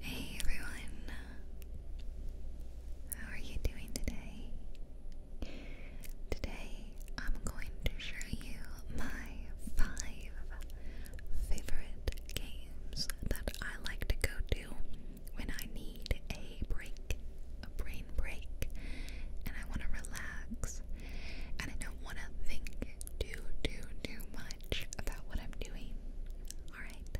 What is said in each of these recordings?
Hey everyone, how are you doing today? Today I'm going to show you my five favorite games that I like to go to when I need a break, a brain break, and I want to relax and I don't want to think think too, too, much about what I'm doing. Alright,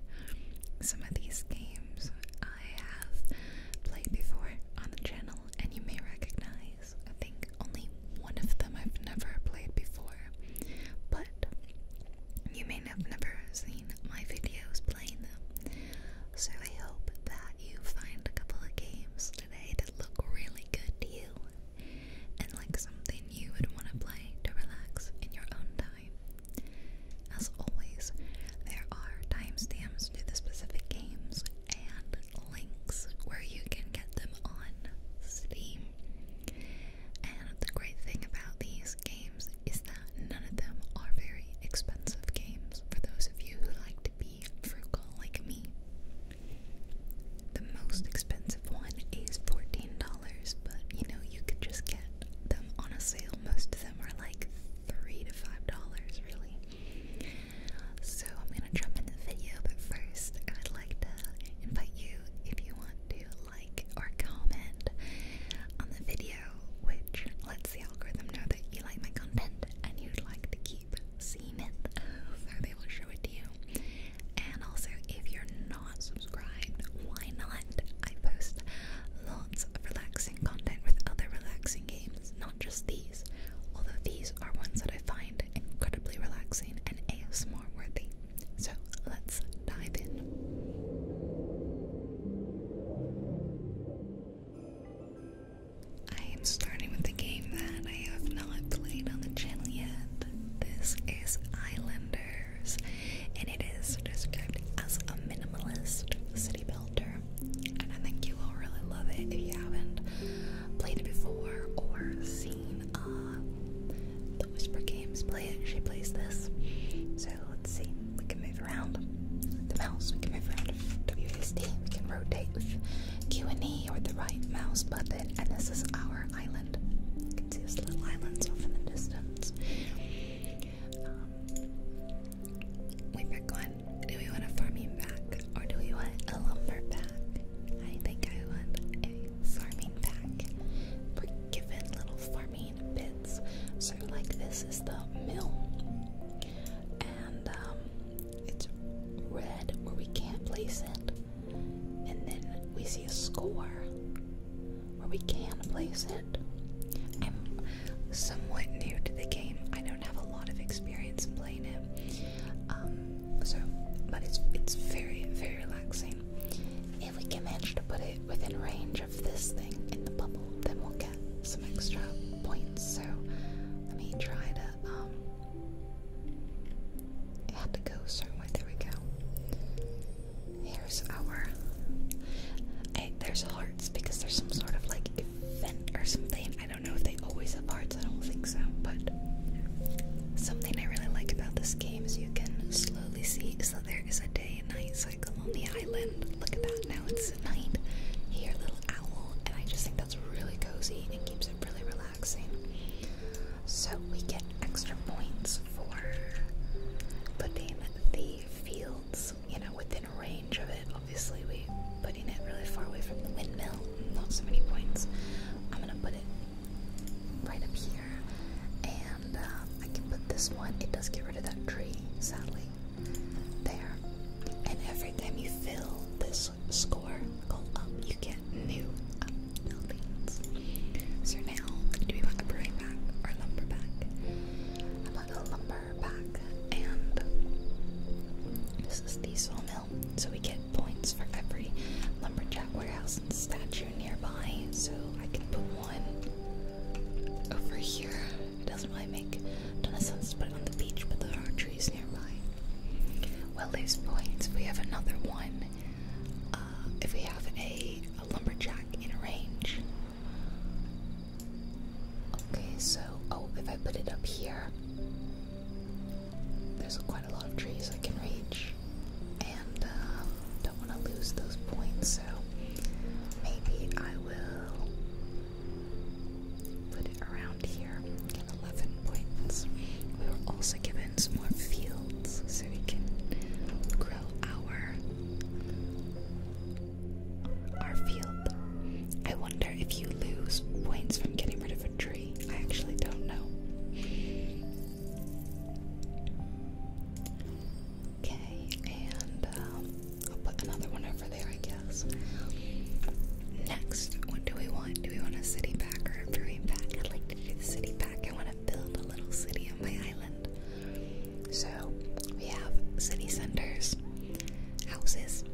some of these games I have played before on the channel, and you may recognize. I think only one of them I've never played before, but you may have never seen my videos playing them. So I hope that you find a couple of games today that look really good to you and like something you would want to play to relax in your own time. As always, there are timestamps to the specific games and links where you can get them on Steam. And the great thing about these games is that none of them are very expensive games for those of you who like to be frugal like me. The most expensive one is $14, but you know, you could just get them on a sale. Most of them are like $3 to $5, really. So I'm going to jump into the video, but first I would like to invite you, if you want to, like or comment on the video, which lets the algorithm know that you like my content and you'd like to keep seeing it, so they will show it to you. And also, if you're not subscribed, why not? I post lots of relaxing content with other relaxing games, not just these. Although these are ones that I find incredibly relaxing and ASMR worthy. So let's dive in. I am starting with the game that I have not played on the channel yet. This is Islanders, and it is described as a minimalist city builder. And I think you will really love it if you haven't played it before or seen uh, the Whisper Games play it. She plays this. So let's see, we can move around the mouse, we can move around WSD, we can rotate with Q and E or the right mouse button, and this is our island. You can see this little island off in the distance. Um, we pick one. Do we want a farming pack or do we want a lumber pack? I think I want a farming pack. We're given little farming bits. So like this is the mill. And um, it's red where we can't place it and then we see a score where we can place it. I'm somewhat new to the game. I don't have a lot of experience playing it. Um, so, but it's it's very very relaxing. If we can manage to put it within range of this thing in the bubble, then we'll get some extra points. So, let me try to um, it had to go a There we go. Here's our. Hey, there's hearts because there's some sort of like event or something. I don't know if they always have hearts. I don't think so, but something I really like about this game is you can slowly see So there is a day and night cycle on the island. Look at that. Now it's at night. Here, little owl, and I just think that's really cozy and keeps it really relaxing. So we get extra points for putting the fields, you know, within range of it. Obviously, we putting it really far away from the windmill, not so many points. I'm gonna put it right up here, and um, I can put this one. It does get rid of that tree, sadly. There, and every time you fill this score you get new. So now, do we want a brewing back or lumber back? I want a lumber back, and this is the sawmill. So we get points for every lumberjack warehouse and statue nearby. So I can put one over here. It doesn't really make a ton of sense to put it on the beach, but there are trees nearby. Well, these points. We have another one uh, if we have a, lumberjack in range. Okay, so, oh, if I put it up here, there's quite a lot of trees I can reach, and um, don't want to lose those points, so maybe I will put it around here. 11 points. We were also given some more fields so we can grow our our field. I wonder if you lose points from getting rid of a tree. I actually don't know. Okay, and um, I'll put another one over there, I guess. Next, what do we want? Do we want a city pack or a brewing pack? the city pack. I want to build a little city on my island. So we have city centers, houses,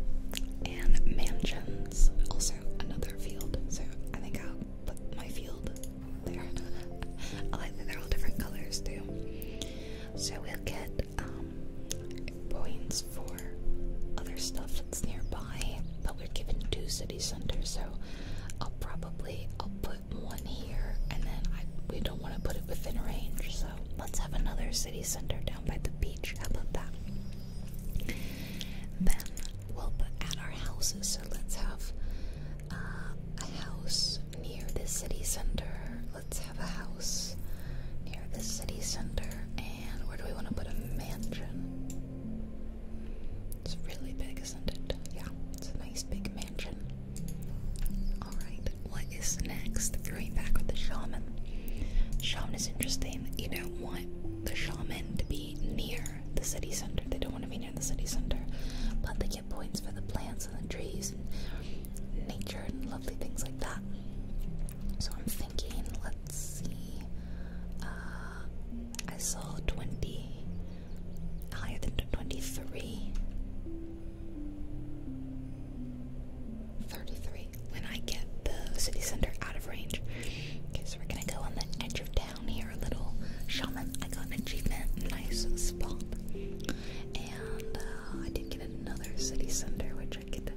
and mansions. Also another field. So I think I'll put my field there. I like that they're all different colors too. So we'll get um, points for other stuff that's nearby, but we're given two city centers, so I'll probably I'll put one here, and then I, we don't want to put it within range, so let's have another city center down by the beach. How about that? Then we'll add our houses. So let's have uh, a house near the city center. Let's have a house near the city center, and where do we want to put a mansion? It's really big, isn't it? Yeah, it's a nice big mansion. Alright, what is next? Going back with the shaman. shaman is interesting. You don't want the shaman to be near the city center. They don't want to be near the city center. But they get points for the plants and the trees and nature and lovely things like that. So I'm thinking, let's see. Uh, I saw 20, higher than 23. When I get the city center out of range. Okay, we're gonna go on the edge of town here a little. Shaman, I got an achievement. Nice spot. And uh, I did get another city center, which I could.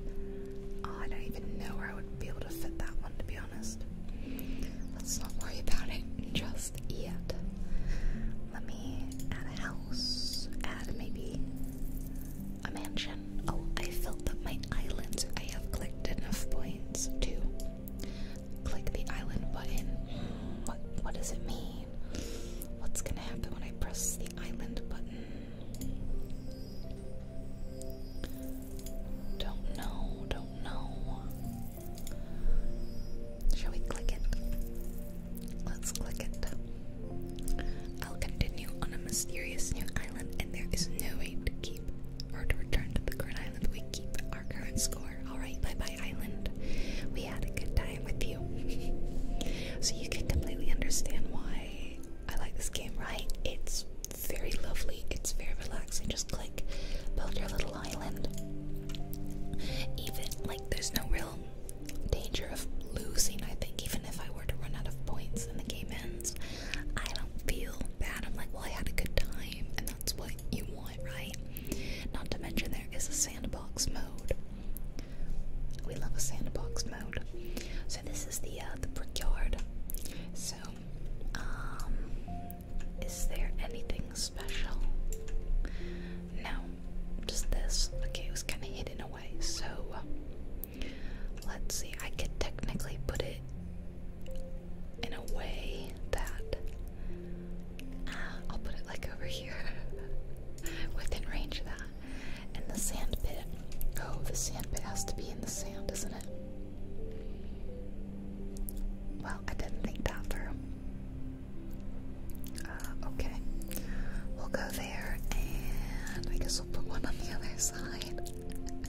Oh, I don't even know where I would be able to fit that one, to be Let's not worry about it just yet. Let me add a house, add maybe a mansion. Oh, I filled up my islands. I have clicked enough points to click the island button. what does it mean? What's gonna happen when I press the island button? Don't know, don't know. Shall we click it? Let's click it. I'll continue on a mysterious new island, and there is no way to keep or to return to the current island. We keep our current score. Alright, bye bye, island. We had a good time with you. so you can completely understand why I like this game, right? It's very lovely. It's very relaxing. Just click, build your little island. Even like there's no real danger of losing. I think even if I were to run out of points and the game ends, I don't feel bad. I'm like, well, I had a good time, and that's what you want, right? Not to mention there is a sandbox mode. We love a sandbox mode. So this is the uh, the brickyard. So um, is there anything special? No, just this. Okay, it was kind of hidden away, so uh, let's see. I could technically put it in a way that I'll put it like over here within range of that. And the sand pit. Oh, the sand pit has to be in the sand, does not it? Well, I didn't think that through. Uh, okay. We'll go there and I guess we'll put one on the other side.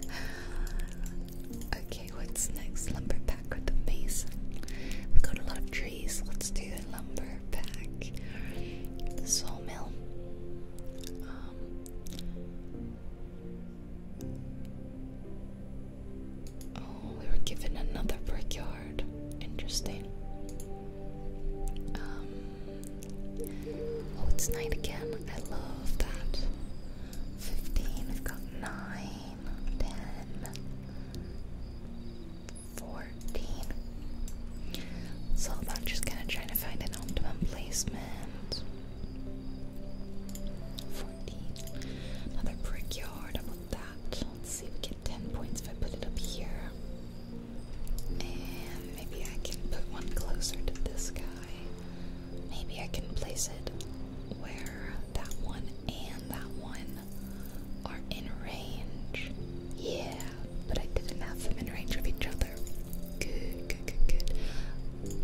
okay, what's next? Lumber pack with the mason. We've got a lot of trees. Let's do a lumber pack. The sawmill. Um, Oh, we were given another brickyard. Interesting. Um, oh, it's night again. I love that. 15, I've got 9, 10, 14. It's all about just kind of trying to find an optimal placement Another brick I want that. Let's see, we get 10 points if I put it up here. And maybe I can put one closer to this guy. Maybe I can place it where that one and that one are in range. Yeah, but I didn't have them in range of each other. Good, good, good, good.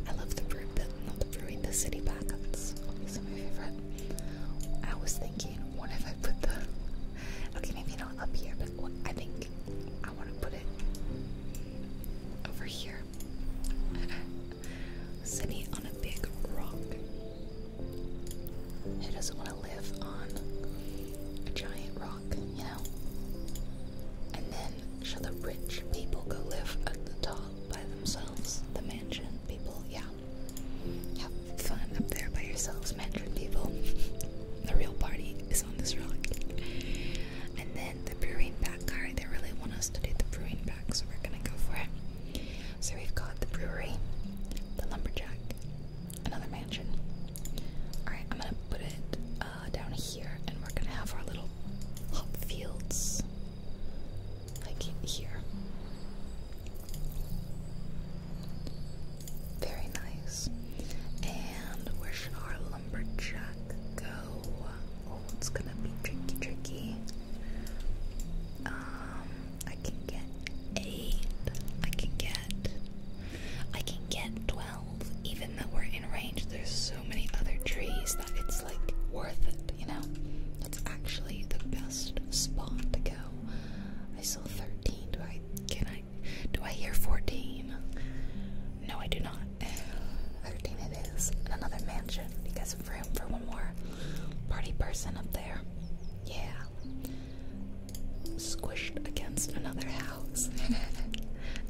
I love the fruit, but not the brewing, the city pack. That's obviously my favorite. I was thinking, what if I put the. Okay, maybe not up here, but what, I think I want to put it over here. City on a big rock. Who doesn't want to live on a giant rock, you know? And then, shall the rich people go live at the top by themselves? the mansion people. Yeah, have fun up there by yourselves, mansion people. the real party is on this rock, And then the brewing back card. They really want us to do the brewing back, so we're gonna go for it. So we've got the brewery, the lumberjack, another mansion. All right, I'm gonna put it uh, down here, and we're gonna have our little fields like here. Very nice. And where should our lumberjack go? Oh, it's gonna be tricky, tricky. Um, I can get eight. I can get. I can get twelve. Even though we're in range, there's so many other trees that it's like worth it, you know? It's actually the best spot to go. I saw 13. Do I can I do I hear 14? No, I do not. 13 it is. In another mansion. You guys have room for one more party person up there. Yeah. Squished against another house.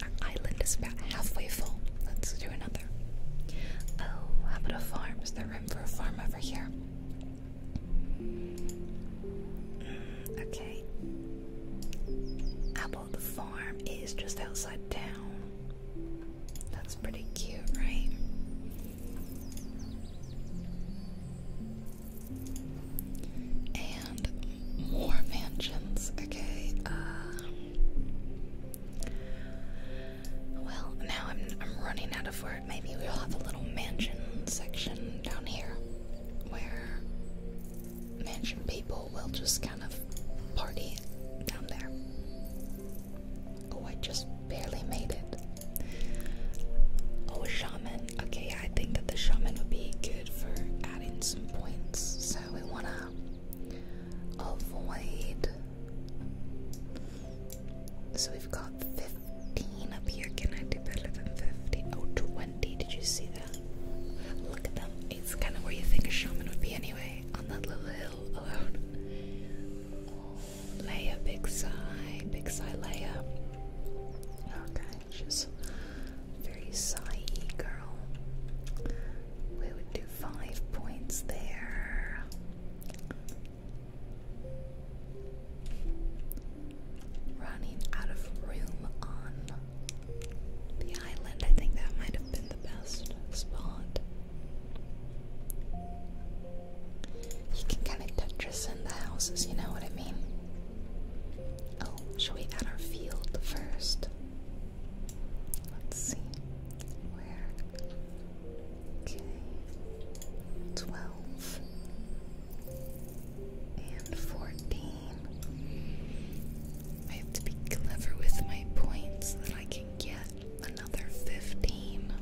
Our island is about halfway full. Let's do another. Oh, how about a farm? Is there room for a farm over here? okay. How about the farm is just outside town? That's pretty cute, right? And more mansions, okay. Uh, well, now I'm, running out of work. Maybe we'll have a little mansion section down here where mansion people will just kind of party down there. Oh, I just barely made it. Oh, shaman. Okay, I think that the shaman would be good for adding some points. So we wanna avoid. So we've got 15 up here. Can I do better than 50? Oh, 20. Did you see that? Look at them. It's kind of where you think a shaman would be anyway, on that little hill alone. Oh, Leia, big sigh. Big sigh, Leia. Okay, she's very sighy girl we would do five points there. Running out of room on the island, I think that might have been the best spot. You can kind of Tetris in the houses, you know what I mean? Oh, shall we add our field first? Let's see. Where? Okay. Twelve and fourteen. I have to be clever with my points so that I can get another fifteen.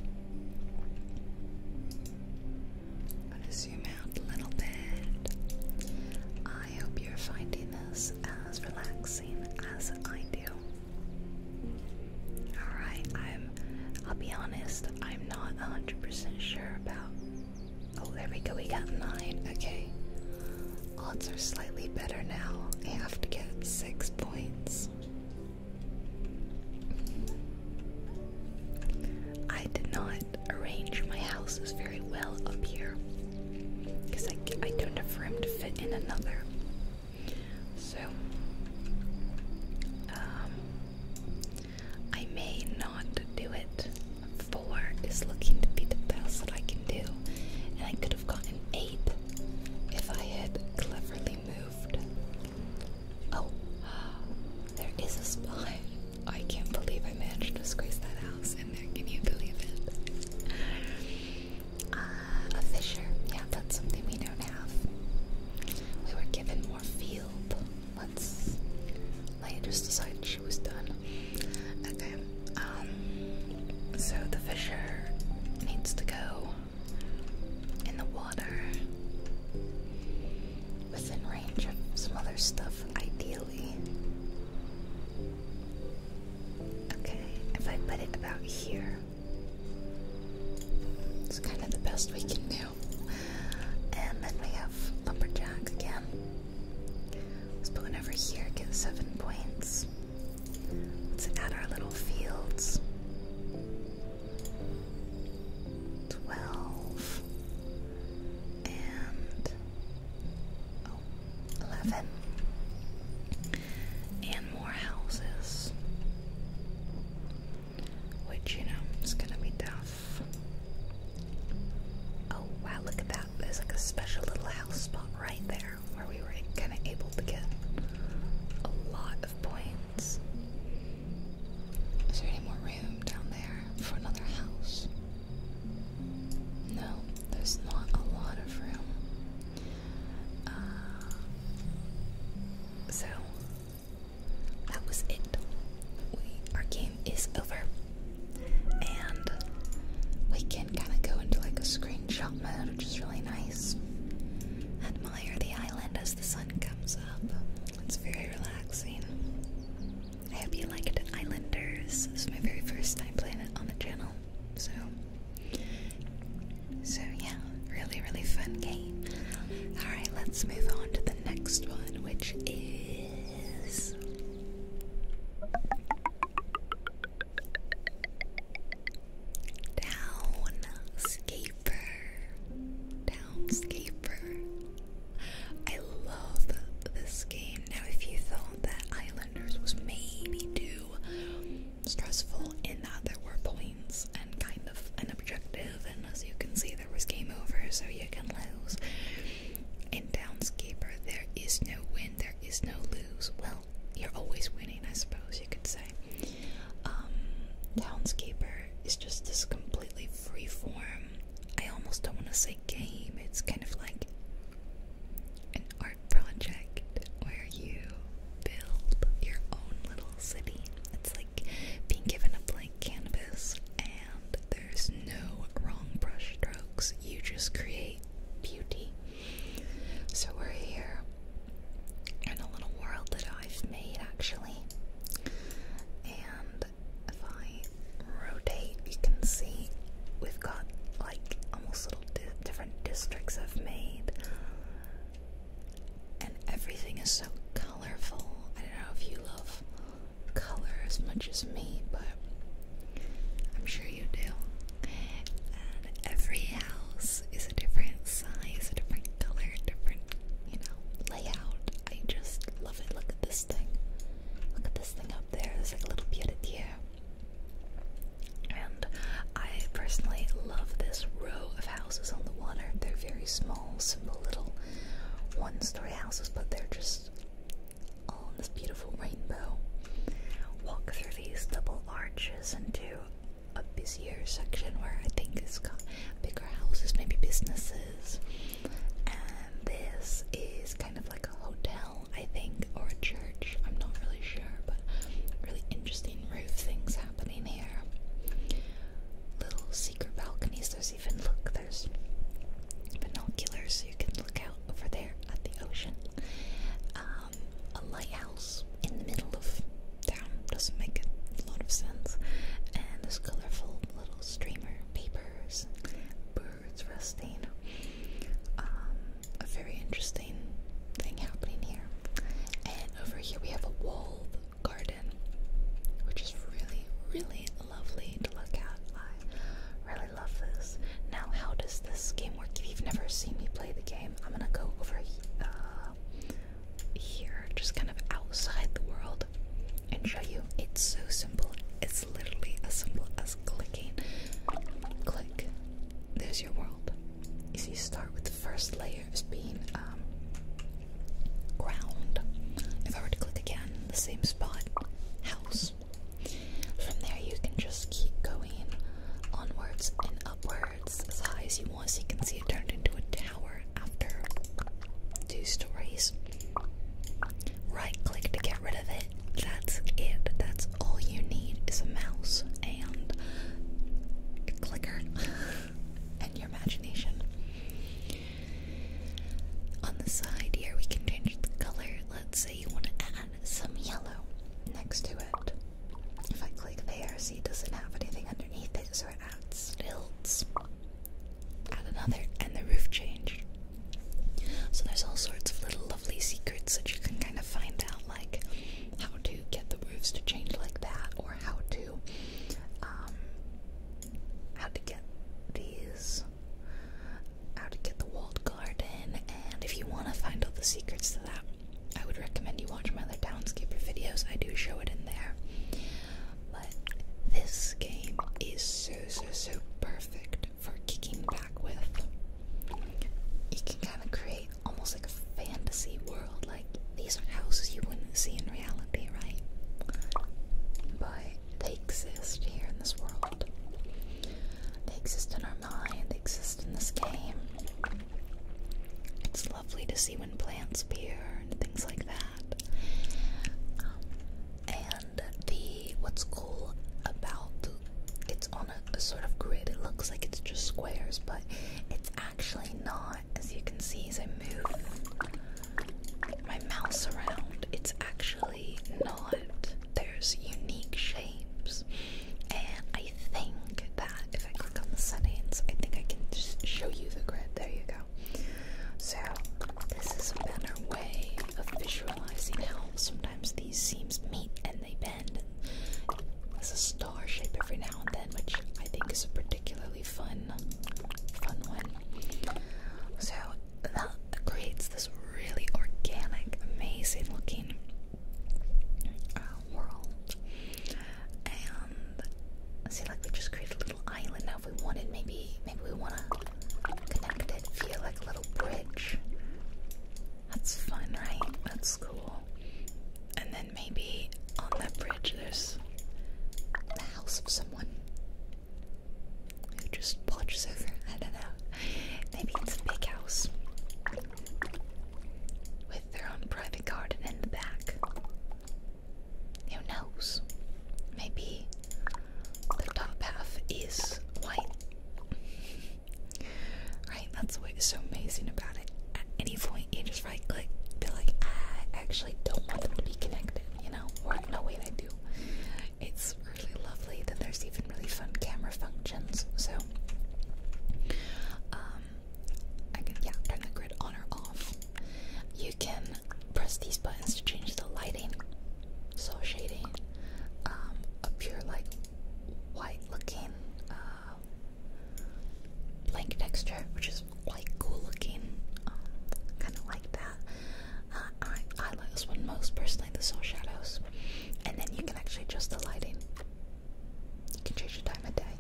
am zoom out a little bit. I hope you're finding this as relaxing as I do. Alright, I'm I'll be honest, I'm not hundred percent sure about Oh there we go, we got nine. Okay. Odds are slightly better now. I have to get six points. I did not arrange my houses very well up here because I, I don't have room to fit in another. So, um, I may not do it. Four is looking to be the best that I can do, and I could have gotten eight if I had cleverly moved. Oh, there is a spy. I can't believe I managed to squeeze that house in there. Can you believe it? Uh, a fissure. Yeah, that's something we don't have. We were given more field. Let's. I just decided she was done. Okay. Um. So the fisher needs to go in the water within range of some other stuff, ideally. Okay, if I put it about here, it's kind of the best we can do. And then we have Lumberjack again. This balloon over here gets seven points. Let's add our little fields. Twelve and oh, eleven. And more houses. Which, you know, is gonna be tough. Oh wow, look at that. There's like a special little house spot right there where we were kinda able to get a lot of points. Is there any more room down there for another house? No, there's not a lot of room. Uh, so that was it. our game is over, and we can kind of go into like a screenshot mode, which is really nice. Admire the island as the sun comes up. It's very relaxing. I hope you liked Islanders. This is my very first time playing it on the channel, so so, yeah, really, really fun game. Alright, let's move on to the next one, which is. Downscaper. Downscaper. I love this game. Now, if you thought that Islanders was maybe due stressful in that there were points and kind of an objective, and as you can see, there was game over, so you can lose. In Townscaper, there is no win, there is no lose. Well, you're always winning, I suppose you could say. Townscaper um, is just this completely free form. I almost don't want to say game, it's kind of like an art project where you build your own little city. It's like being given a blank canvas and there's no wrong brush strokes. You just create beauty. So we're here in a little world that I've made actually. And if I rotate, you can see we've got like almost little different districts I've made and everything is so colorful. I don't know if you love color as much as me, but I'm sure you do. And every house is a different size, a different color, a different, you know, layout. I just love it. Look at this thing. Look at this thing up there. There's like a little pied and I personally love this row of houses on the water. They're very small, simple little one story houses, but they're just all in this beautiful rainbow. Walk through these double arches into a busier section where I think it's got bigger houses, maybe businesses. And this is kind of like a hotel, I think, or a church. I'm not really sure, but really interesting roof things happening here. Little secret balconies. There's even look. There's binoculars, so you can look out over there at the ocean. Um, a lighthouse in the middle of town doesn't make a lot of sense. And this colorful little streamer, papers, birds resting. Um, a very interesting thing happening here. And over here we have a walled garden, which is really, really lovely to look at. I really love this. Now, how does this game work? If you've never seen me play the game, I'm gonna go over uh, here, just kind of outside the world, and show you. It's so simple. It's literally as simple as clicking, click, there's your world. You see, start with the first layer as being um, ground. If I were to click again, the same spot, house. From there, you can just keep going onwards and upwards as high as you want. So you can see it turned into a tower after two stories. Right click to get rid of it. That's it. That's all you need is a mouse and clicker and your imagination. On the side here, we can change the color. Let's say you want to add some yellow next to it. If I click there, see it doesn't have anything underneath it, so it adds stilts. Add another, and the roof changed. So there's all sorts of little lovely secrets that you can kind of find out, like how to get the roofs to change like that, or how to um, how to get these, how to get the walled garden, and if you want to find all the secrets to that, I would recommend you watch my other Townscaper videos. I do show it in there. But this game is so so so perfect for kicking back with. You can kind of create almost like a fantasy world. Like these are houses you wouldn't see in reality, right? But they exist here in this world. They exist in our mind, they exist in this game. It's lovely to see when plants appear and things like that. Um, and the what's cool about its a, sort of grid. It looks like it's just squares, but it's actually not. As you can see, as I move my mouse around, it's actually not. There's unique shapes, and I think that if I click on the settings, I think I can just show you the grid. There you go. So, this is a better way of visualizing how sometimes these seams meet and and they bend. And a star shape every now and then, which I think is a particularly fun, fun one. So that creates this really organic, amazing looking uh, world. And see, like we just created a little island. Now, if we wanted, maybe, maybe we want to connect it feel like a little bridge. That's fun, right? That's cool. And then maybe on that bridge there's the house of someone who just watches over. I don't know. Maybe it's a big house with their own private garden in the back. Who knows? Maybe the top half is white. Right, that's what is so amazing about it. At any point, you just right click, be like, I actually don't want them to be connected, you know? Or, no, way they do. It's really lovely that there's even really fun camera functions. So, um, I can, yeah, turn the grid on or off. You can press these buttons to change the lighting, so shading, um, appear like, white looking, uh, blank texture, which is quite cool looking. Um, kind of like that. Uh, I, I like this one most personally, the soul shadows. And then you can actually adjust the lighting. You can change the time of day.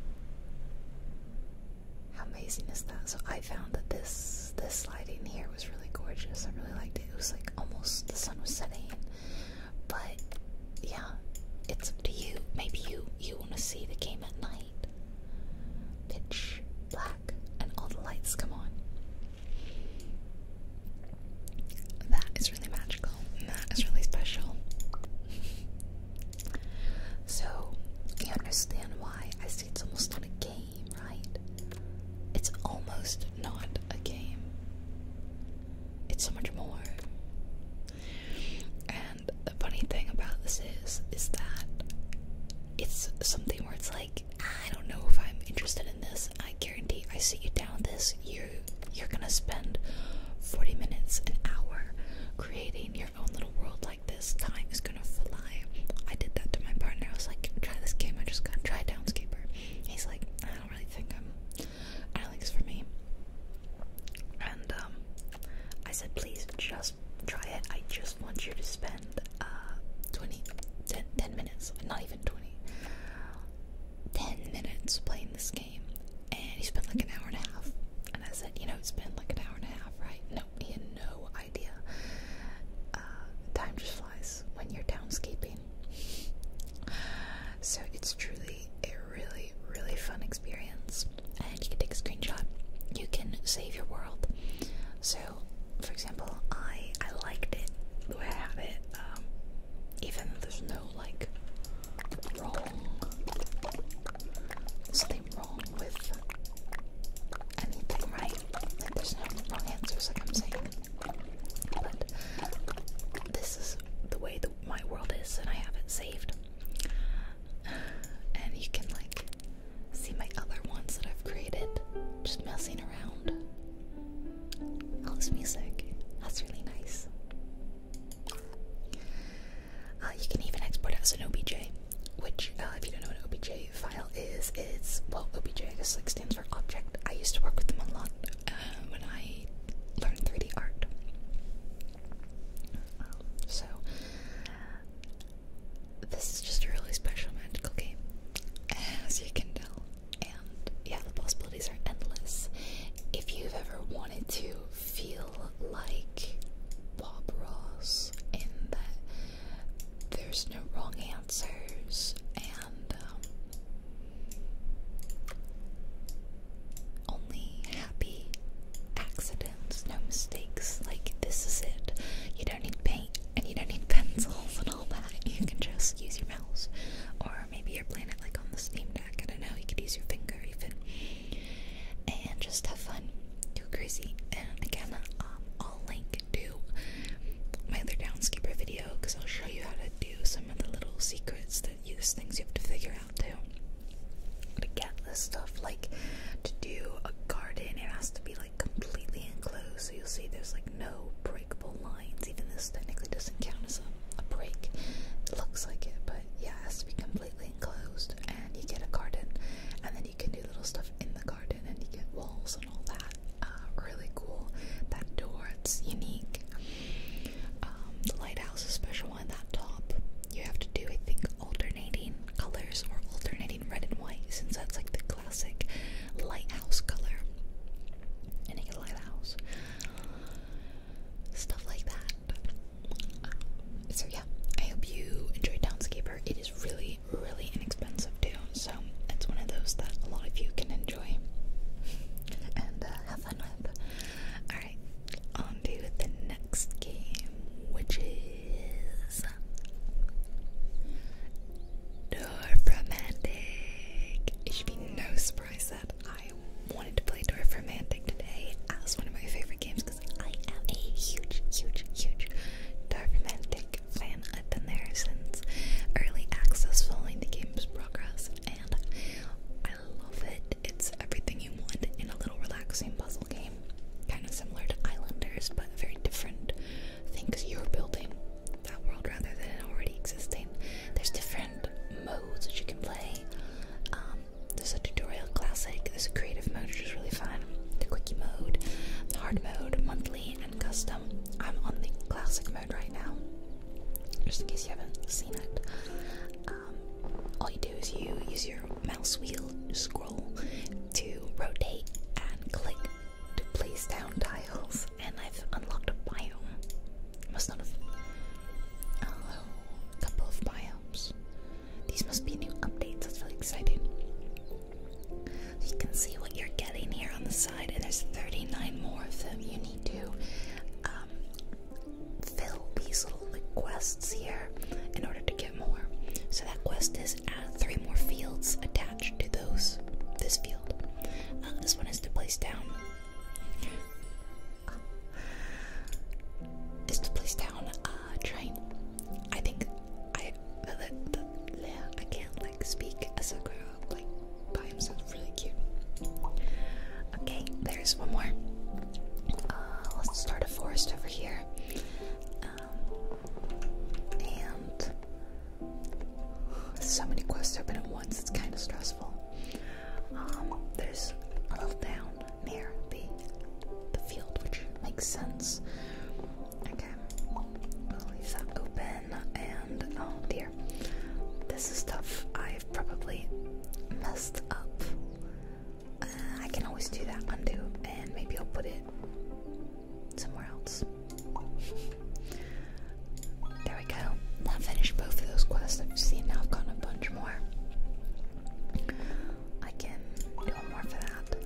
How amazing is that? So I found that this this lighting here was really gorgeous. I really liked it. It was like almost the sun was setting, but yeah, it's up to you. Maybe you you want to see the game at night, pitch black, and all the lights come on. That is really magical. That is really special. so you understand why I say it's almost not a game, right? It's almost not a game. It's so much more. And the funny thing about this is, is that it's something where it's like, I don't know if I'm interested in this. I guarantee I sit you down with this, you're you're gonna spend 40 minutes, an hour creating your own little world like this. Time is gonna fly. I did that to my partner. I was like, try this game, I just gotta try Downscaper. He's like, I don't really think I'm Alex for me. And um, I said, please just try it. I just want you to spend uh, 10, 10 minutes, not even 20, 10 minutes playing this game. And he spent like an hour and a half. And I said, you know, it's been like an hour and a half, right? No, he had no idea. Uh, time just flies when you're downscaping. So it's truly a really, really fun experience. And you can take a screenshot. You can save your world. So, for example, I I liked it the way I have it. Um, even there's no like wrong something wrong with anything, right? there's no wrong answers, like I'm saying. But this is the way that my world is, and I have it saved and you can like see my other ones that I've created just messing around. All oh, this music, that's really nice. Uh, you can even export it as an OBJ, which, uh, if you don't know what an OBJ file is, it's well, OBJ I guess like stands for object. I used to work with them a lot uh, when I learned 3D art so, this is just a really special magical game, as you can tell. And yeah, the possibilities are endless. If you've ever wanted to feel like Bob Ross and there's no wrong answers and um, only happy accidents, no mistakes. Like, this is it. You don't need paint and you don't need pencils and all that. You can just use your mouse. Or maybe your planet, like on the Steam Deck. I don't know. You can use your finger even. And just have fun. Do crazy. And again, um, I'll link to my other Downskeeper video because I'll show you how to do some of the little secrets that use things you have to figure out too to get this stuff like to do a garden it has to be like completely enclosed so you'll see there's like no breakable lines even this technically doesn't count as a, a break it looks like it but yeah it has to be completely enclosed and you get a garden and then you can do little stuff in the garden and you get walls and all that uh, really cool that door it's unique um, the lighthouse is special want that top, you have to do, I think, alternating colors or alternating red and white, since that's like the classic lighthouse color in lighthouse. Stuff like that. So, yeah, I hope you enjoyed Downscaper. It is really, really inexpensive too, so it's one of those that a lot of you can enjoy and uh, have fun with. Alright, on the next game, which is Dorfromantic. It should be no surprise that I wanted to play Dorfromantic today as one of my favorite games because I am a huge, huge, huge Dorfromantic fan. I've been there since early access following the game's progress and I love it. It's everything you want in a little relaxing puzzle game. Kind of similar to Islanders, but very different things you're building. That world rather than it already existing. There's different modes that you can play. Um, there's a tutorial classic, there's a creative mode, which is really fun. The quickie mode, the hard mode, monthly, and custom. I'm on the classic mode right now, just in case you haven't seen it. Um, all you do is you use your mouse wheel scroll to rotate and click to place down tiles. And I've unlocked a biome. Must not have. Oh, a couple of biomes. These must be new updates. That's really exciting. you can see what you're getting here on the side, and there's 39 more of them. You need to um, fill these little quests here in order to get more. So that quest is add three more fields attached to those this field. Uh, this one is to place down. Uh, is to place down a uh, train. I think I I can't like speak. Asakura like by himself really cute. Okay, there's one more. Uh, let's start a forest over here. Um, and so many quests open at once, it's kind of stressful. Um, there's a little town near the, the field, which makes sense. Okay, we that open. And oh dear, this is tough. I've probably messed up uh, I can always do that undo, and maybe I'll put it somewhere else. there we go. I've finished both of those quests I've seen. Now I've got a bunch more. I can do more for that.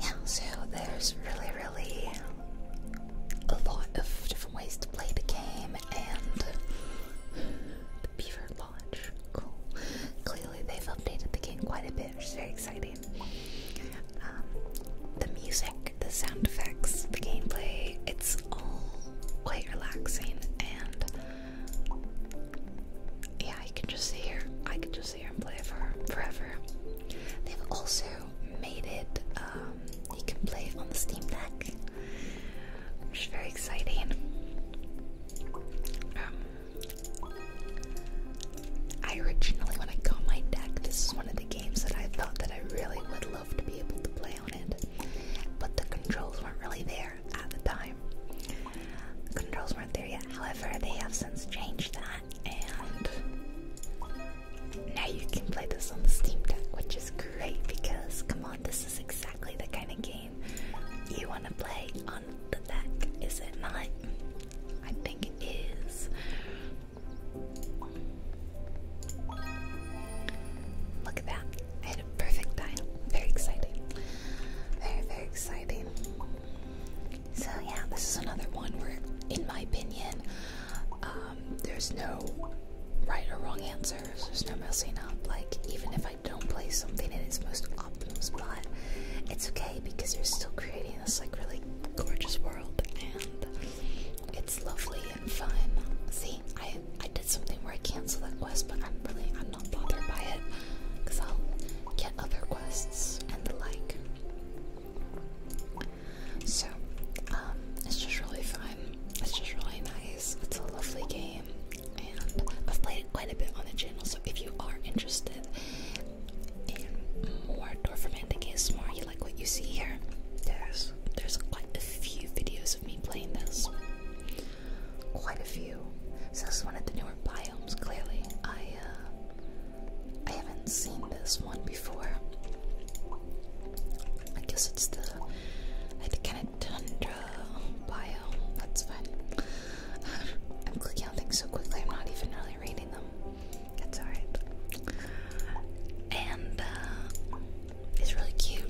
Yeah, so there's really, really a lot of different ways to play the game, and the beaver lodge. Cool. Clearly, they've updated the game quite a bit, which is very exciting. Um, the music, the sound effects, the gameplay, it's all quite relaxing and yeah, you can just sit here. I can just sit here and play it for forever. They've also made it um, you can play it on the Steam Deck, which is very exciting. Um, I originally, when I got my deck, this is one of the games that I thought that I really would love to be able to play on it, but the controls weren't really there at the time. The controls weren't there yet. However, they have since changed that, and now you can play this on the Steam Deck, which is great because, come on, this is exciting exactly the kind of game you want to play on the deck, is it not? I think it is. Look at that. I had a perfect time. Very exciting. Very, very exciting. So, yeah, this is another one where, in my opinion, um, there's no right or wrong answers. There's no messing up. Like, even if I don't play something in its most optimal spot, it's okay because you're still creating this, like, really gorgeous world and it's lovely and fun. See, I, I did something where I canceled that quest, but I'm really, I'm not bothered by it because I'll get other quests and the like. So, um, it's just really fun. It's just really nice. It's a lovely game, and I've played it quite a bit on the channel. So if you are interested in more Dorfromantic more you like what you see here, yes, there's quite a few videos of me playing this. Quite a few. So this is one of the newer biomes. Clearly, I uh, I haven't seen this one before. I guess it's the I kind of tundra biome. That's fun. I'm clicking on things so quickly, I'm not even really reading them. That's alright. And uh, it's really cute.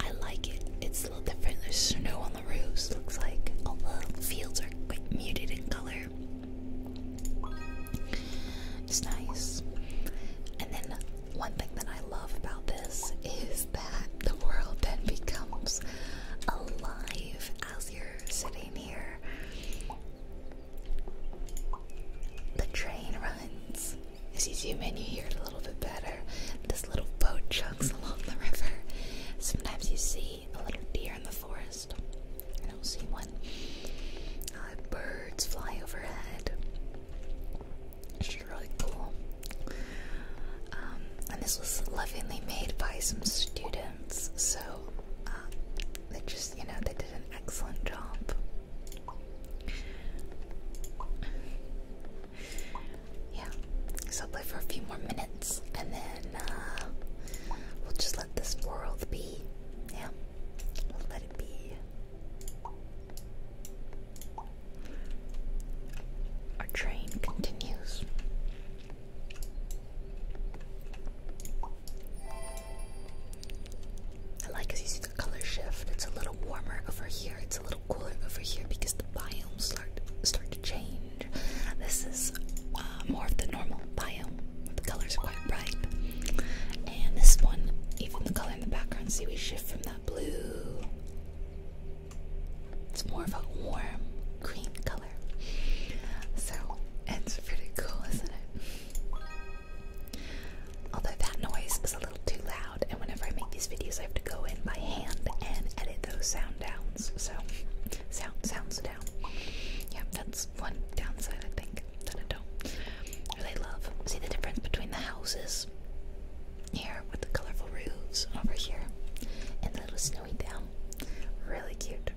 I like it. It's a little different. There's snow on the roofs, looks like. All the fields are quite muted in color. It's nice. And then one thing that I love about this is that the world then becomes alive as you're sitting here. The train runs. As you zoom in, you hear it a little bit better. This little boat chugs along the river. Sometimes you see a little deer in the forest. I don't see one. Uh, birds fly overhead. She's really cool. Um, and this was lovingly made by some students, so um, they just, you know, they did an excellent job. Yeah, so I'll play for a few more minutes and then uh, we'll just let this world be. Yeah, let it be. Our train continues. I like as you see the color shift. It's a little warmer over here. It's a little cooler over here because the biomes start start to change. This is uh, more of the normal biome. The colors are quite bright, and this one, even the color in the background, see we shift from that blue it's more of a warm green color. So it's pretty cool, isn't it? Although that noise is a little too loud, and whenever I make these videos, I have to go in by hand and edit those sound downs. So, sound sounds down. Yeah, that's one downside I think that I don't really love. See the difference between the houses here with the colorful roofs over here and the little snowy town, Really cute.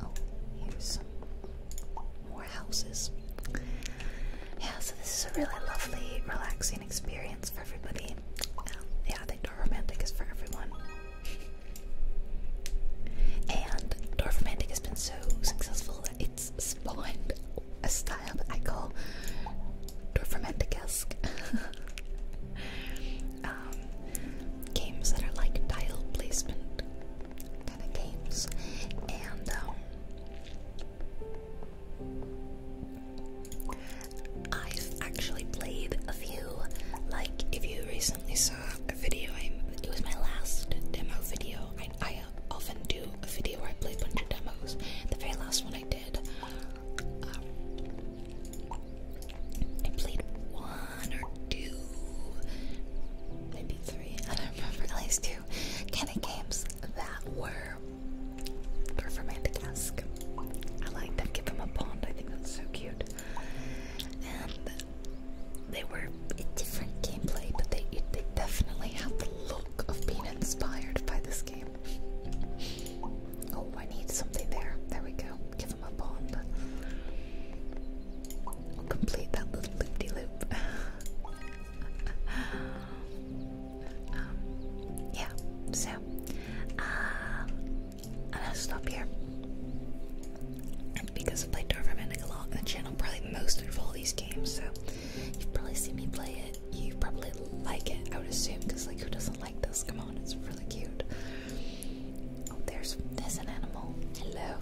Oh, here's some more houses. Yeah, so this is a really lovely, relaxing experience for everybody. Um, yeah, I think is for everyone. And Dwarf has been so successful that it's spawned a style that I call dorfromantic um, games that are like tile placement kind of games. And um, I've actually played a few, like if you recently saw a video, it was my last demo video I uh, often do a video where I play bunch of demos. The very last one I did, um, I played one or two, maybe three, I don't remember, at least two kind of games that were performantic-esque. I like that. Give him a pond. I think that's so cute they were a different gameplay, but they they definitely have the look of being inspired by this game. Oh, I need something there. There we go. Give him a bond. I'll complete that little loop de loop. yeah, so, um, and I'll stop here because I've played Dark Romantic a lot on the channel, probably most of all these games, so you've probably seen me play it. You probably like it, I would assume, because like who doesn't like this? Come on, it's really cute. Oh, there's there's an animal. Hello.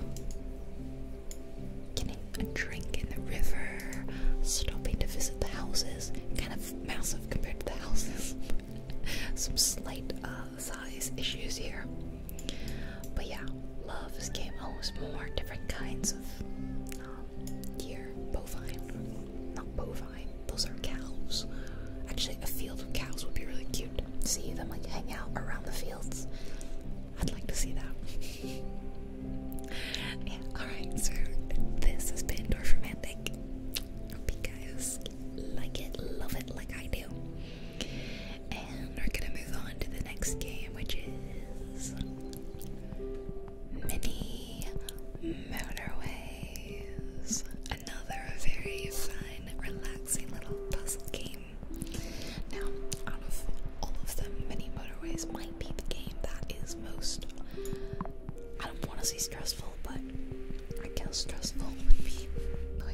Getting a drink in the river, stopping to visit the houses. Kind of massive compared to the houses. Some slight uh, size issues here. But yeah, loves came home oh, with more different kinds of deer, um, bovine, not bovine. Those are cows. Actually, a field of cows would be really cute. See them like hang out around the fields. I'd like to see that. yeah. All right. So this has been Dorfromantic. Hope you guys like it, love it like I do. And we're gonna move on to the next game, which is Mini Motorways. Another very fun, relaxing little puzzle game. Now, out of all of them, Mini Motorways might be the game that is most. I don't want to say stressful, but I guess stressful would be how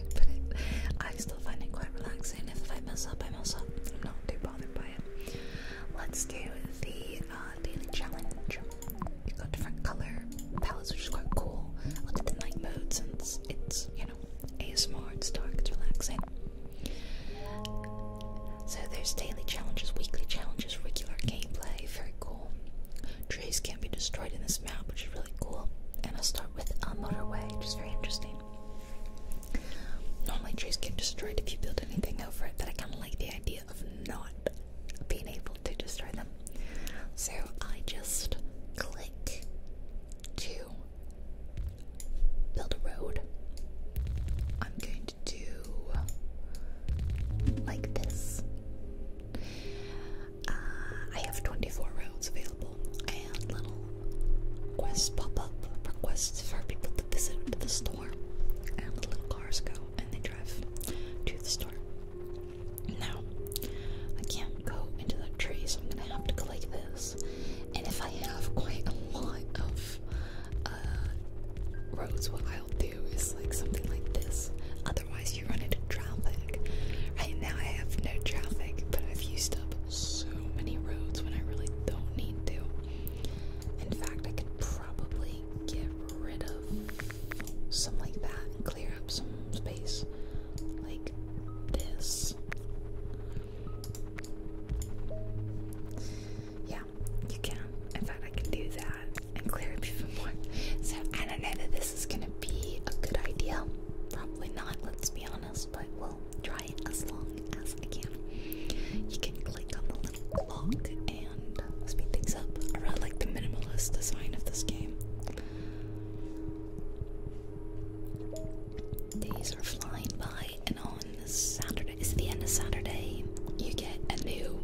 I still find it quite relaxing if I mess up, I mess up. I'm not too bothered by it. Let's do the uh, daily challenge. You got different color palettes, which is quite cool. Look at the night mode since it's, you know, ASMR, it's dark, it's relaxing. So there's daily challenges, weekly challenges, regular gameplay, very cool. Trees can't be destroyed in this map, which is really cool. And I'll start with a uh, motorway, which is very interesting. Normally trees get destroyed if you build anything over it, but I kind of like the idea of not being able to destroy them. So I just click to build a road. I'm going to do like this. Uh, I have 24 roads available and little quests pop up requests for people to visit the store and the little cars go and they drive to the store. Now I can't go into the tree so I'm gonna have to collect this and if I have quite a lot of uh, roads what I'll do is like something like this. Otherwise you run into traffic. Right now I have no traffic but I've used so many roads when I really don't need to. In fact, I could probably get rid of some like that and clear up some space like this. Yeah, you can. In fact, I can do that and clear up even more. So I don't know that this is gonna be a good idea. Probably not, let's be honest but we'll try it as long as I can. You can click on the little clock and speed things up. I really like the minimalist design of this game. Days are flying by, and on this Saturday, it's the end of Saturday, you get a new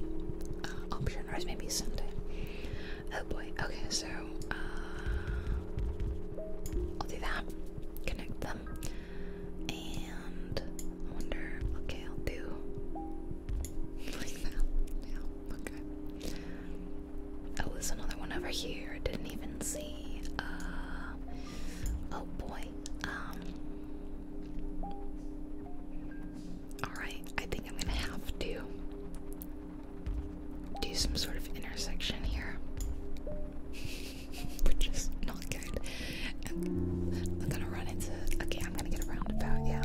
uh, option, or maybe Sunday. Oh boy, okay, so uh, I'll do that. Connect them. And I wonder, okay, I'll do Yeah, okay. Oh, there's another one over here. I didn't even see. Uh, oh boy. Um, Alright, I think I'm gonna have to do some sort of intersection here. which is not good. I'm, gonna run into. Okay, I'm gonna get a roundabout. Yeah.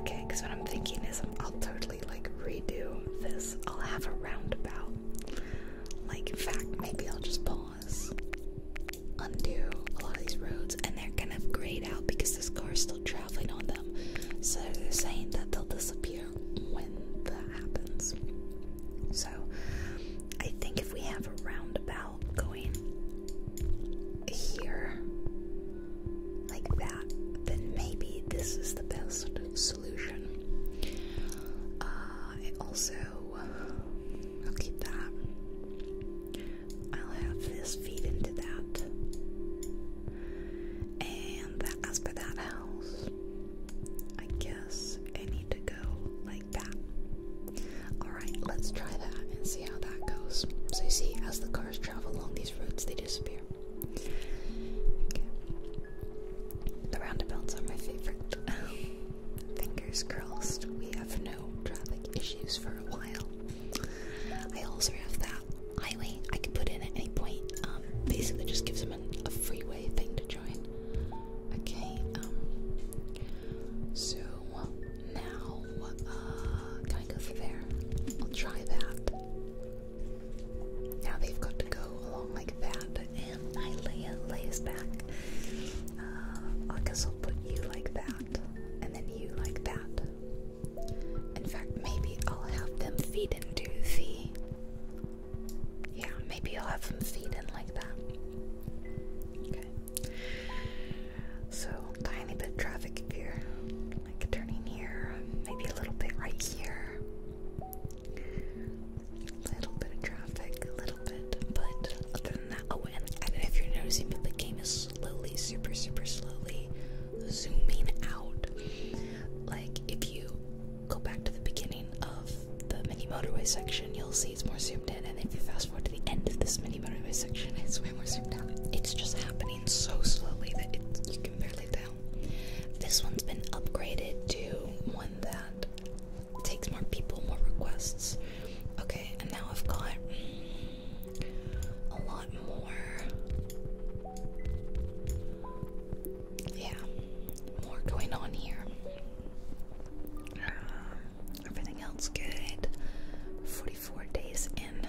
Okay, because what I'm thinking is I'm, I'll totally like redo this. I'll have a roundabout. Like, in fact, maybe I'll just pause, undo a lot of these roads, and they're gonna grayed out because this car is still traveling on them. So they're saying that they'll disappear when that happens. So I think if we have a roundabout going here like that, then maybe this is the best solution. Uh, also I'll keep that. I'll have this feed into that. And as for that house, I guess I need to go like that. Alright, let's try that and see how that goes. So, you see, as the cars travel along these roads, they disappear. Okay. The roundabouts are my favorite. Fingers crossed, we have no traffic issues for a while. I also have that highway I can put in at any point. Um, basically, just gives them a freeway thing to Okay, um, so now, uh, can I go through there? I'll try that. Now they've got to go along like that, and I lay, lays back. Uh, I guess I'll put you like that, and then you like that. In fact, maybe I'll have them feed into the yeah, maybe I'll have some feed in like that. Okay. So, tiny bit of traffic here. Like turning here, maybe a little bit right here. Little bit of traffic, a little bit, but other than that, oh, and I don't know if you're noticing, but the game is slowly, super, super slowly zooming out. Like if you go back to the beginning of the mini motorway section, you'll see it's more zoomed in. And if you fast forward to the end of this mini motorway section, it's way more zoomed out. It's just happening so slowly that you can barely tell. This one's been upgraded to one that takes more people, more requests. Okay, and now I've got a lot more yeah, more going on here. Um, everything else good. 44 days in.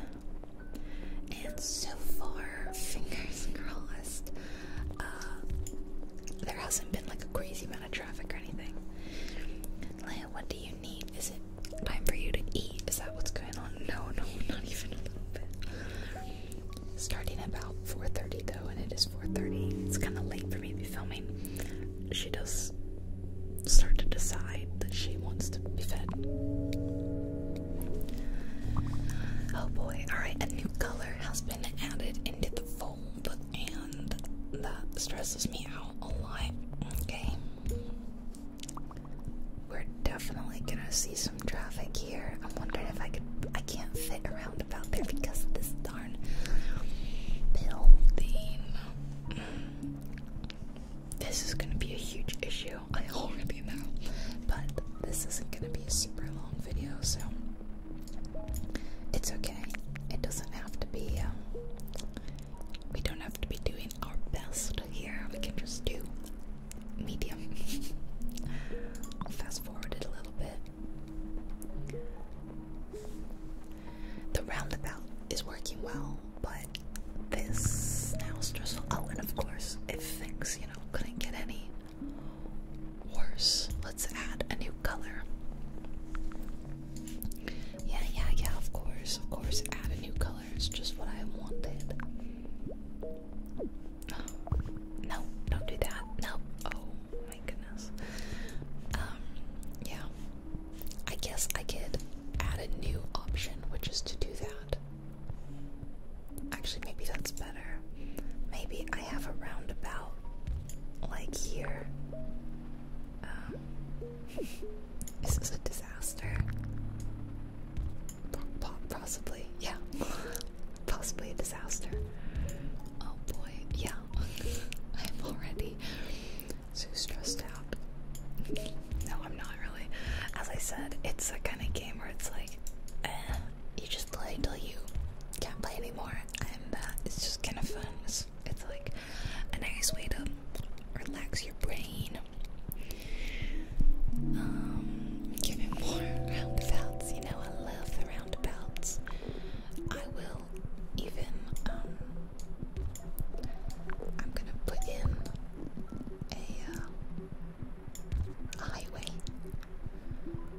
And so far, fingers crossed, uh, there hasn't been like a crazy amount of traffic or anything. Leah, what do you need? Is it time for you to eat? Is that what's going on? No, no, not even a little bit starting about 4.30 though and it is 4.30 it's kind of late for me to be filming she does start to decide that she wants to be fed oh boy alright a new color has been added into the fold and that stresses me out a lot okay we're definitely gonna see some traffic here i'm wondering if i could i can't fit around about there because of this dot this is gonna be a huge issue, I already know, but this isn't gonna be a super long video, so it's okay. It doesn't have to be, um, we don't have to be doing our best here, we can just do medium. fast forward it a little bit. The roundabout is working well, but this now stressful. Oh, and of course, if things, you know, couldn't get any worse, let's add a new color. Yeah, yeah, yeah, of course, of course, add a new color. It's just what I wanted. No, don't do that. No. Oh my goodness. Um, yeah. I guess I could add a new option, which is to do that. Actually, maybe that's better. Maybe I have a roundabout like here. Um, this is a disaster. Possibly, yeah possibly a disaster. Oh boy, yeah, I'm already so stressed out. No, I'm not really. As I said, it's a kind of game where it's like, eh, you just play until you can't play anymore, and uh, it's just kind of fun. It's, like a nice way to relax your brain. Um, giving more roundabouts, you know, I love the roundabouts. I will even, um, I'm gonna put in uh, a, highway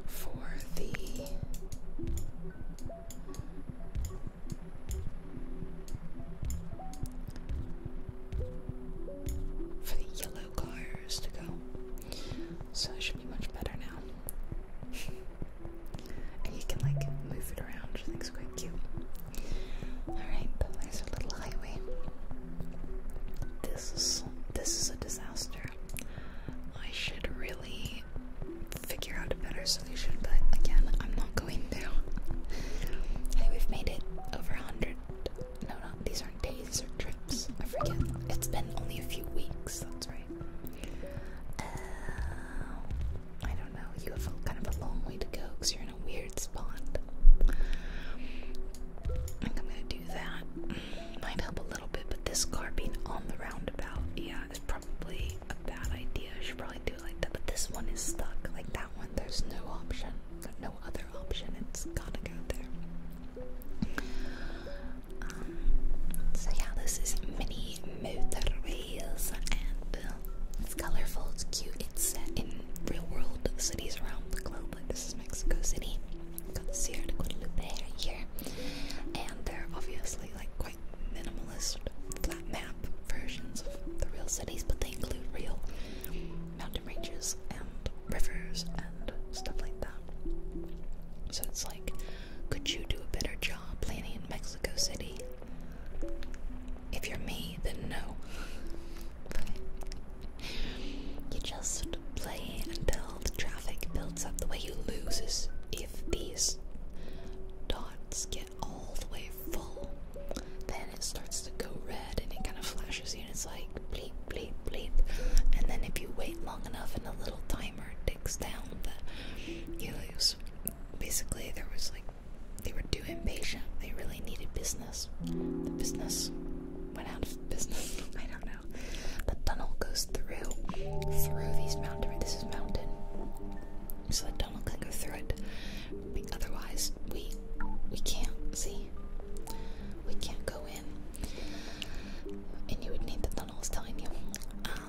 for the. For the yellow cars to go. So it should be much better now. and you can like move it around, which I quite cute. Alright, but a little highway. This this is a disaster. I should really figure out a better solution, but again, I'm not going to. Hey, we've made it over a hundred. No, no, these aren't days or trips. I forget. It's been only a few weeks. That's right. Uh, I don't know, you have kind of a long way to go because you're in a weird spot. I think I'm gonna do that. Might help a little bit, but this car being on the roundabout, yeah, is probably a bad idea. I should probably do it like that, but this one is stuck. Like that one, there's no option, no other option. It's gotta go there. Um, so yeah, this is mini motorways and um, it's colorful, it's cute, it's set in real world cities around the globe. Like this is Mexico City. Got the Sierra de Guadalupe here. And they're obviously like quite minimalist flat map versions of the real cities, but they include real mountain ranges and rivers and stuff like that. So it's like could you do a better job planning in Mexico City? If you're me, then no. you just play until the traffic builds up. The way you lose is if these dots get all the way full, then it starts to go red and it kind of flashes you, and it's like bleep, bleep, bleep. And then if you wait long enough in a little time, timer down you lose. Basically, there was like they were too impatient. They really needed business. The business went out of business. I don't know. The tunnel goes through through these mountains. This is mountain, so the tunnel can go through it. otherwise, we we can't see. We can't go in, and you would need the McDonald's telling you.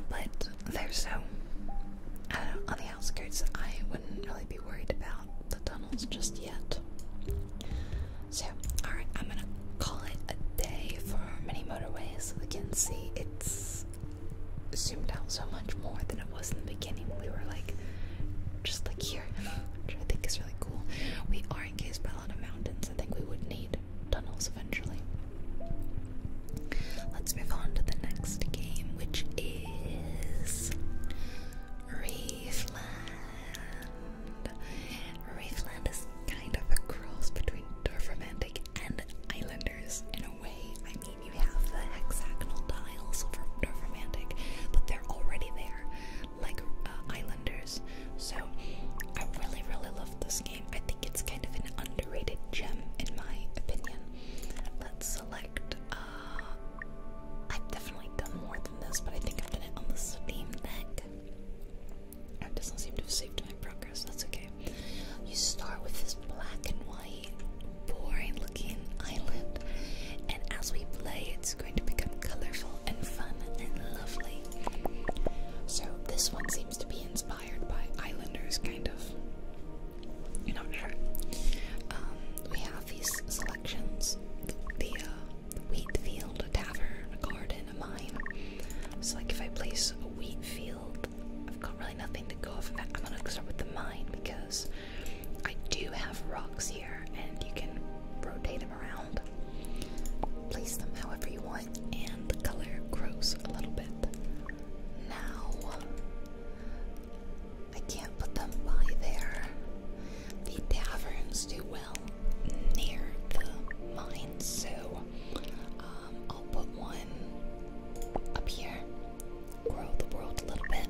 but they so, I uh, on the outskirts, I wouldn't really be worried about the tunnels just yet. So, alright, I'm gonna call it a day for many motorways. We can see it's zoomed out so much more than it was in the beginning. We were like, just like here, which I think is really cool. We are encased by a lot of mountains. I think we would need tunnels eventually. Let's move on to the next game, which is Reefland. Reefland is kind of a cross between Dwarf Romantic and Islanders in a way. I mean, you have the hexagonal tiles for Dwarf Romantic, but they're already there, like uh, Islanders. So I really, really love this game. I think it's kind of an underrated gem in my opinion. Let's select. Uh, I've definitely done more than this, but I think I've done it on the Steam Deck. It doesn't seem to have saved my progress. That's okay. You start with this black and white, boring-looking island, and as we play, it's going to become colorful and fun and lovely. So this one's to be inspired by islanders, kind of. You're not sure. Um, we have these selections the uh, wheat field, a tavern, a garden, a mine. So, like, if I place a wheat field, I've got really nothing to go off of. I'm gonna start with the mine because I do have rocks here and you can rotate them around, place them however you want and the color grows a little bit. Now, I can't put them by there. The taverns do well near the mines, so um, I'll put one up here, grow the world a little bit,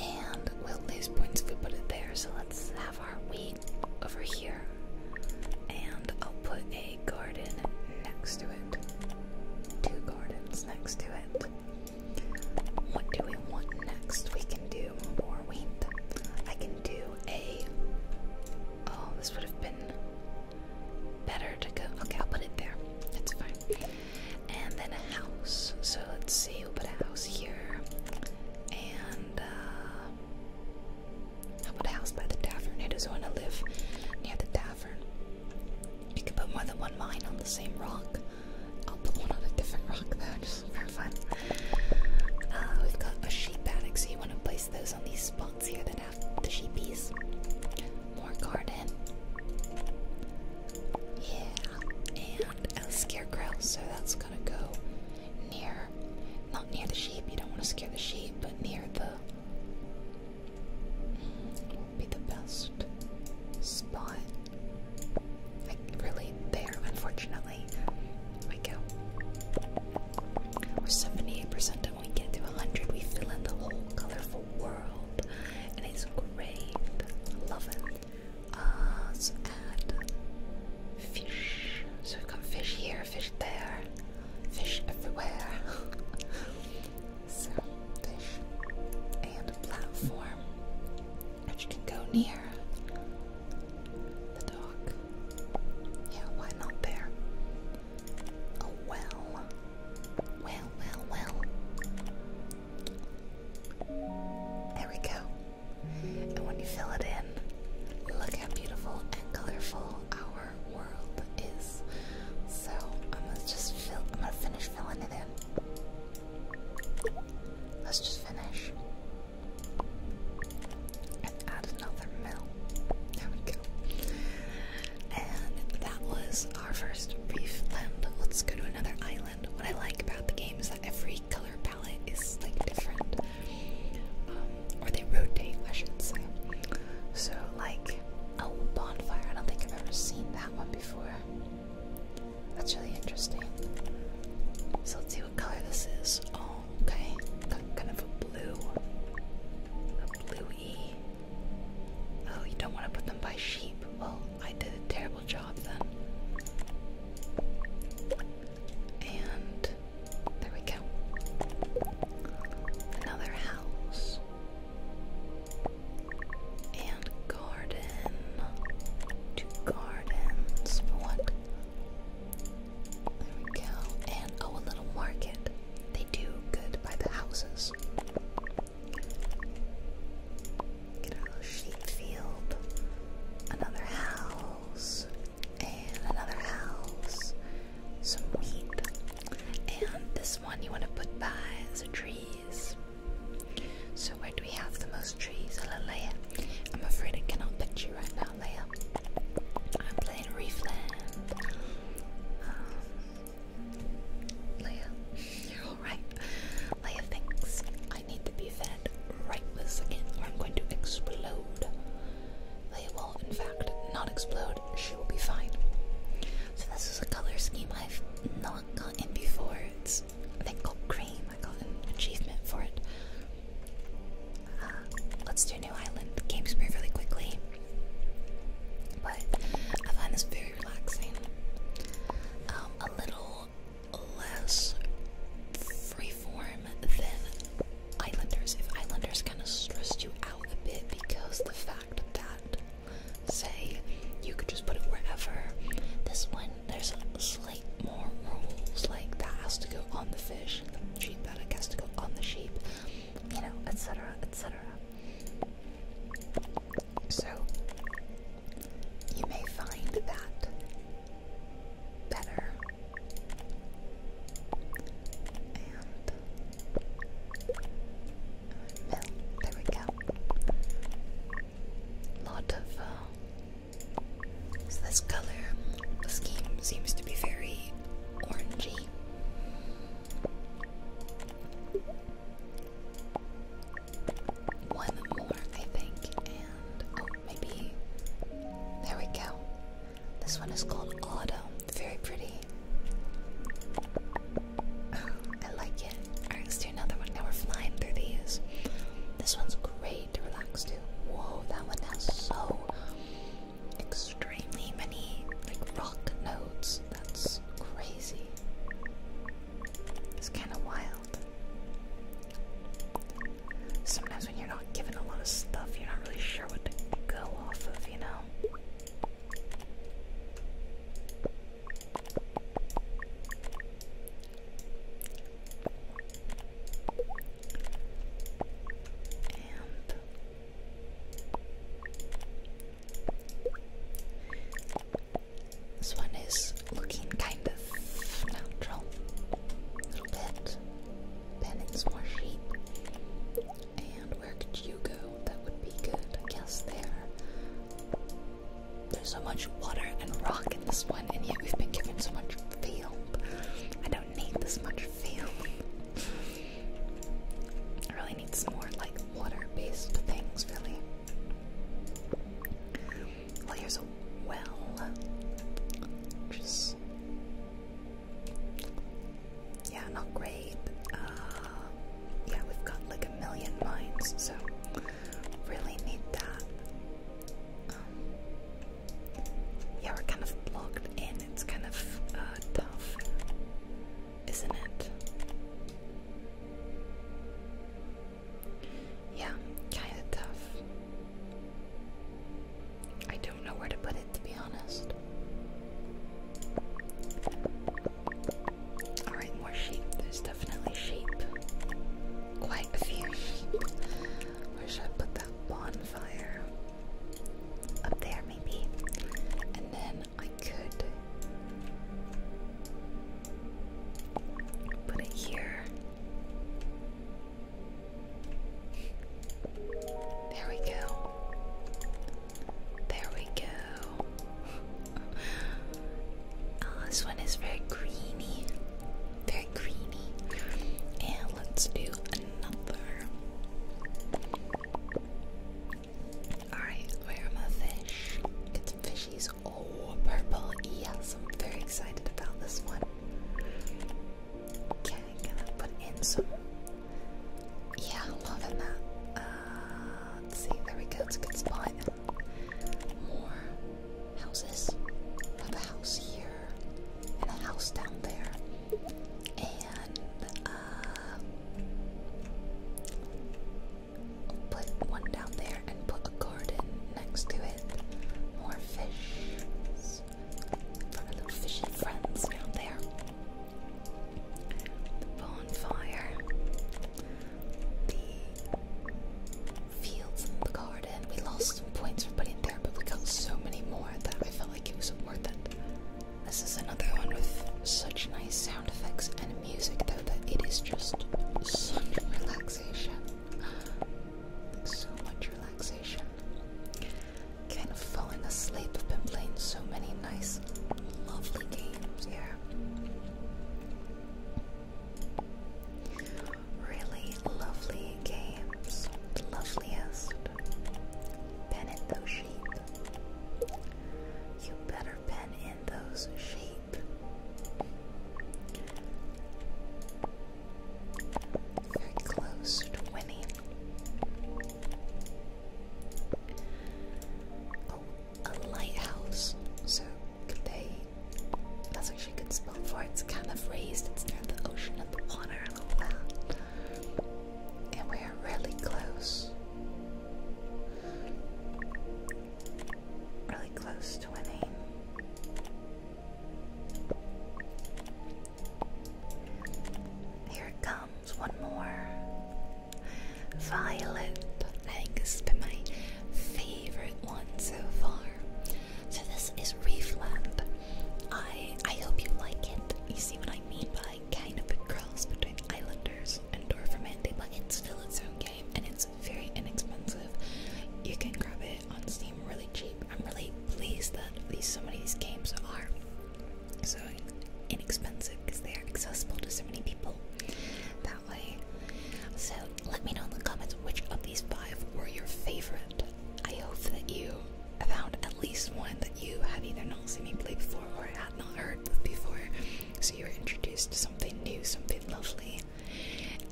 and we'll lose points if we put it there, so let's have our wheat over here, and I'll put a garden next to it. Two gardens next to it. What do we want next? We can do more wheat. I can do a. Oh, this would have been better to go. Okay, I'll put it there. It's fine. And then a house. So let's see, we'll put a house here. And, uh, how about a house by the tavern? I just want to live near the tavern. You can put more than one mine on the same rock. I'll put one on a different rock though, just for fun. Uh, we've got a sheep paddock, so you want to place those on these spots here that have the sheepies. More garden. Yeah, and a scarecrow, so that's gonna go near not near the sheep. You don't want to scare the sheep, but near the be the best spot. Like really there, unfortunately. There we go. We're 78% done. we get to 100, we fill in the whole colorful world, and it's great. Love it. Uh, let fish. So we've got fish here, fish there, fish everywhere. so, fish and a platform which can go near the dock. Yeah, why not there? Oh, well. Well, well, well. There we go. And when you fill it in, look how beautiful and colorful our world is. So I'm gonna just fill. I'm gonna finish filling it in. Let's just finish add another mill. There we go. And that was our first brief land. Let's go to another island. What I like about the game is that every color palette is like different. Um, or they rotate, I should say. So, like a bonfire, I don't think I've ever seen that one before. That's really interesting. So, let's see what color this is. Oh, okay, kind of a blue, bluey. Oh, you don't want to put them by sheep. Well, I did a terrible job then. And there we go. Another house. And garden. Two gardens. There we go. And oh, a little market. They do good by the houses. Get our little sheep field. Another house and another house, some wheat, and this one you want to put by the trees. So, where do we have the most trees? Hello, Leia. I'm afraid I cannot picture right now, Leia. I'm playing Reefland. Um, Leia, you're alright. Leia thinks I need to be fed right this second, or I'm going to explode. They will, in fact, not explode. She will be fine. So this is a color scheme I've not gotten before. It's I think called cream. I got an achievement for it. Uh, let's do New Island Game Spray really quickly. But I find this very relaxing. Um, a little less freeform than Islanders, if Islanders kind of stressed you out a bit because the fact that, say, you could just put it wherever, this one, there's a slight more rules, like that has to go on the fish, the sheep paddock has to go on the sheep, you know, etc., etc. So, you may find that better. And mill. Oh, there we go. Lot of. Uh, so this color scheme seems to be very orangey. One more, I think, and oh, maybe there we go. This one is called Autumn. Very pretty. I like it. Alright, let's do another one. Now we're flying through these. This one's great to relax to. Whoa, that one has so extremely many like rock notes. That's crazy. It's kind of wild. Sometimes when you're not given a lot of stuff, you're not really sure what to go off of, you know? And this one is looking kind of natural. A little bit. Then it's more sheep. And where could you go? That would be good. I guess there. There's so much water and rock in this one, and yet we've been given so much feel. I don't need this much feel. I really need some more like water-based things, really. Well, here's a well. which is. Yeah, not great. Uh, yeah, we've got like a million mines, so really need that. Um, yeah, we're kind of blocked in. It's kind of uh, tough, isn't it? Yeah, kind of tough. I don't know where to put it, to be honest. Alright, more sheep. There's definitely sheep. Quite a few sheep. Where should I put that bonfire? Up there, maybe. And then I could put it here. There we go. There we go. Oh, this one is very greeny. Very greeny. And let's do another. Alright, where am I fish? It's fishies. Oh, purple. Yes, I'm very excited about this one. Okay, gonna put in some? Yeah, more than that. Uh, let's see, there we go, it's a good spot. More houses. a house here, and a house down there. And, uh, put one down there and put a garden next to it. More fish from our fishing friends down there. The bonfire, the fields the garden. We lost some points for putting there, but we got so many more that I felt like it was worth it. This is another one with such nice sound effects and music, though, that it is just such relaxation. so much relaxation. Kind of fallen asleep. I've been playing so many nice, lovely games here. Really lovely games. loveliest. Pen in those sheep. You better pen in those sheep. Very close to winning. Oh, a lighthouse. So could they that's actually a good spot for it. It's kind of raised, it's near the ocean and the water and that. And we are really close. Really close to winning. Here comes one more. Violet. I think this has been my favorite one so far. So this is Reefland. I I hope you like it. You see what I mean by kind of a cross between Islanders and Dorfamante, but it's still its own game and it's very inexpensive. You can grab it on Steam really cheap. I'm really pleased that these some of these games are so inexpensive because they are accessible to so many people that way. So let me know in the comments which of these five were your favorite. I hope that you found at least one that you had either not seen me play before or had not heard before, so you were introduced to something new, something lovely.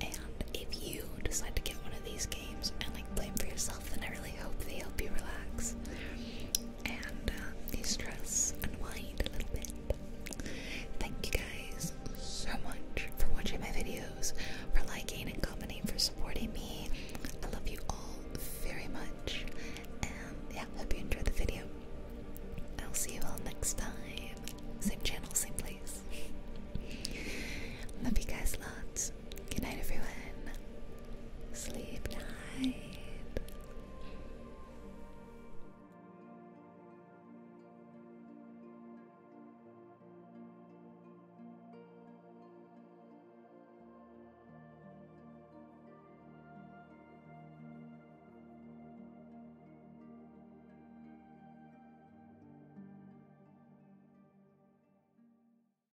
And if you decide to get one of these and like blame for yourself. And I really hope they help you relax and uh, de stress, unwind a little bit. Thank you guys so much for watching my videos, for liking and commenting, for supporting me. I love you all very much. And yeah, hope you enjoyed the video. I'll see you all next time. Same channel, same place. Love you guys lots. Good night, everyone. Sleep night.